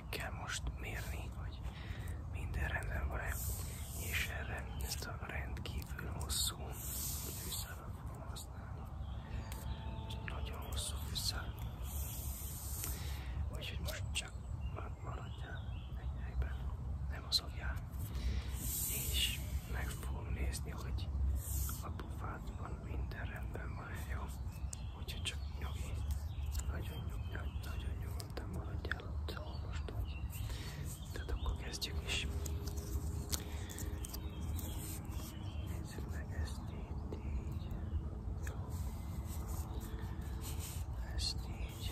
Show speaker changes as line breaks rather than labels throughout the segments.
meg kell most mérni, hogy minden rendben van-e, és erre ezt a rendkívül hosszú fűszálat fogom használni. Nagyon hosszú fűszál. Úgyhogy most csak maradjál egy helyben, nem mozogjál, és meg fogom nézni, hogy a pofádban minden rendben maradjon, hogyha csak nyugi, nagyon nyugi, nagyon nyugodtan maradjál ott, szóval most vagy. Tehát akkor kezdjük is. Nézzük meg ezt itt így. Jó. Ezt így. Így.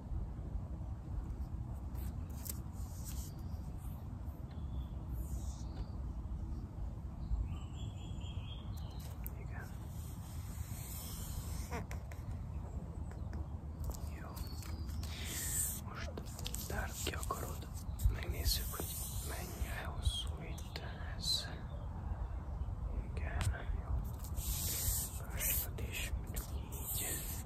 Igen. Jó. Most tárd ki akarod. Megnézzük, hogy mennyire hosszú itt ez. Igen, jó. Másikat is, mondjuk így.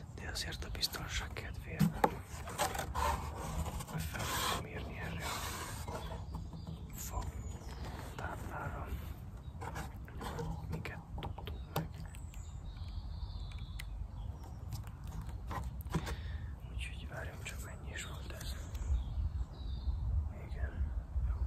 de azért a biztonság kedvéért fel fogom írni erre a fogtámlára, miket tudtunk meg. Úgyhogy várjunk csak mennyi is volt ez. Igen. Jó.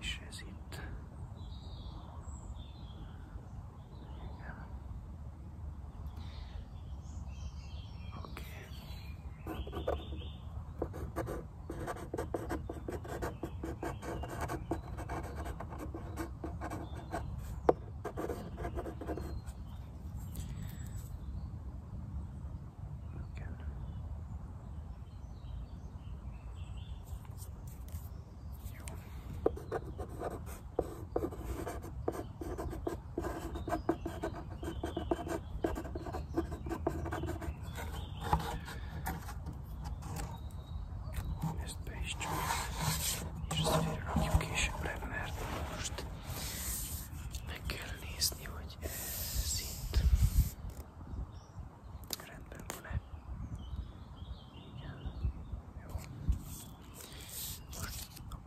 és ez itt. Igen. Oké. Okay. Igen. Ezt be is csak, és azért rakjuk későbbre, mert most meg kell nézni, hogy szint Rendben van-e? Igen. Jó.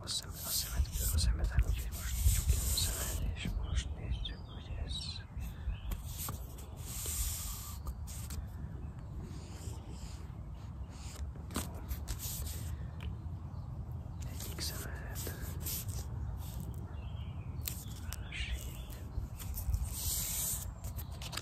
Most a, szem, a szemed a szemeden, úgyhogy most csukjam a szemed, és most nézzük, hogy ez... Egyik szemedet, másik,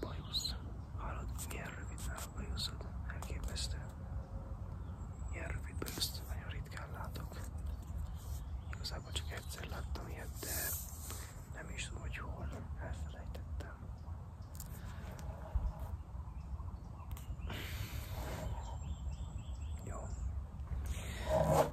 Bajusz, hallod, milyen a bajuszod, elképesztő. Ilyen rövid nagyon ritkán látok. Igazából csak egyszer láttam ilyet, nem is tudom, hogy hol, elfelejtettem. Jó.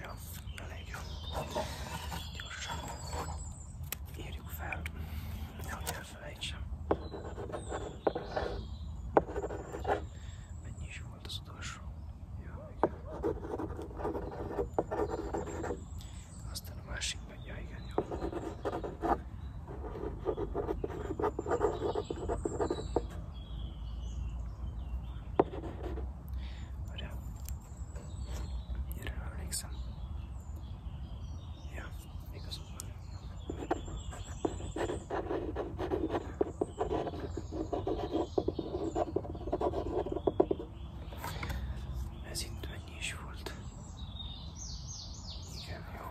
Ja, elég jó. Gyorsan. Írjuk fel. Nehogy elfelejtsem. Mennyi is volt az utolsó? Ja, igen. Aztán a másik meg, ja igen, jó. Várjál. Erről emlékszem. Ja, igazad van. Ez itt mennyi is volt? Igen, jó.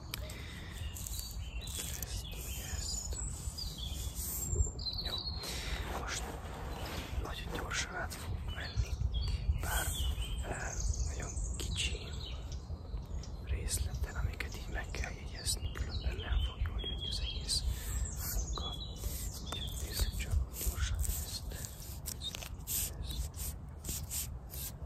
ezt, ezt. Jó, most nagyon gyorsan át fogok menni, bár nagyon kicsi részleten, amiket így meg kell jegyezni, különben nem fog jól jönni az egész munka. Úgyhogy nézzük csak gyorsan ezt, ezt, ezt.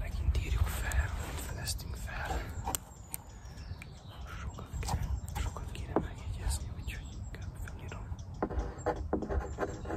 Megint írjuk fel, amit fedeztünk fel. Sokat kéne, sokat kéne megjegyezni, úgyhogy inkább felírom. Igaz.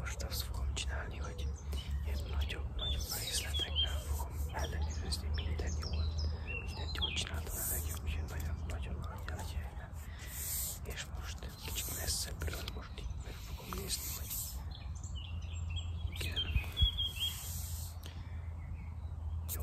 Most azt fogom csinálni, hogy ilyen nagyobb-nagyobb részletekben fogom ellenőrizni minden jól. Mindent jól csináltam a legjobb, úgyhogy nagyon-nagyon nagy a helyen. És most kicsit messzebbről most így meg fogom nézni, hogy igen. Jó.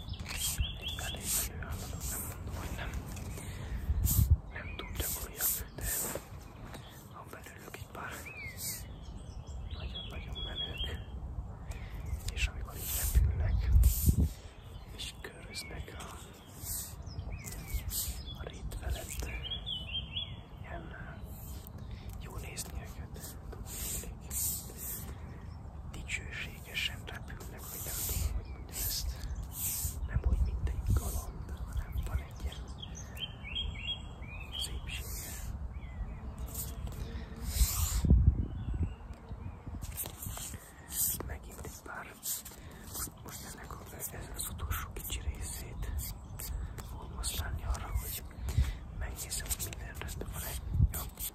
elég állapot, nem mondom, hogy nem, nem túl gyakorljak, de ha belülök egy pár nagyon-nagyon menők, és amikor így repülnek, és köröznek a, a rét felett, ilyen jó nézni őket, dicsőség. Egységesen repülnek mindenhol, ezt nem úgy mint egy galamb, hanem van egy ilyen szépsége. Itt megint egy pár, most ennek a, ez az utolsó kicsi részét fogom használni arra, hogy megnézem, hogy minden rendben van-e. Ja.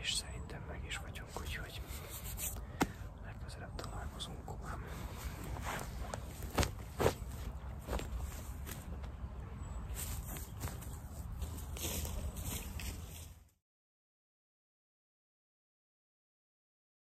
És szerintem meg is vagyunk, úgyhogy legközelebb találkozunk komám.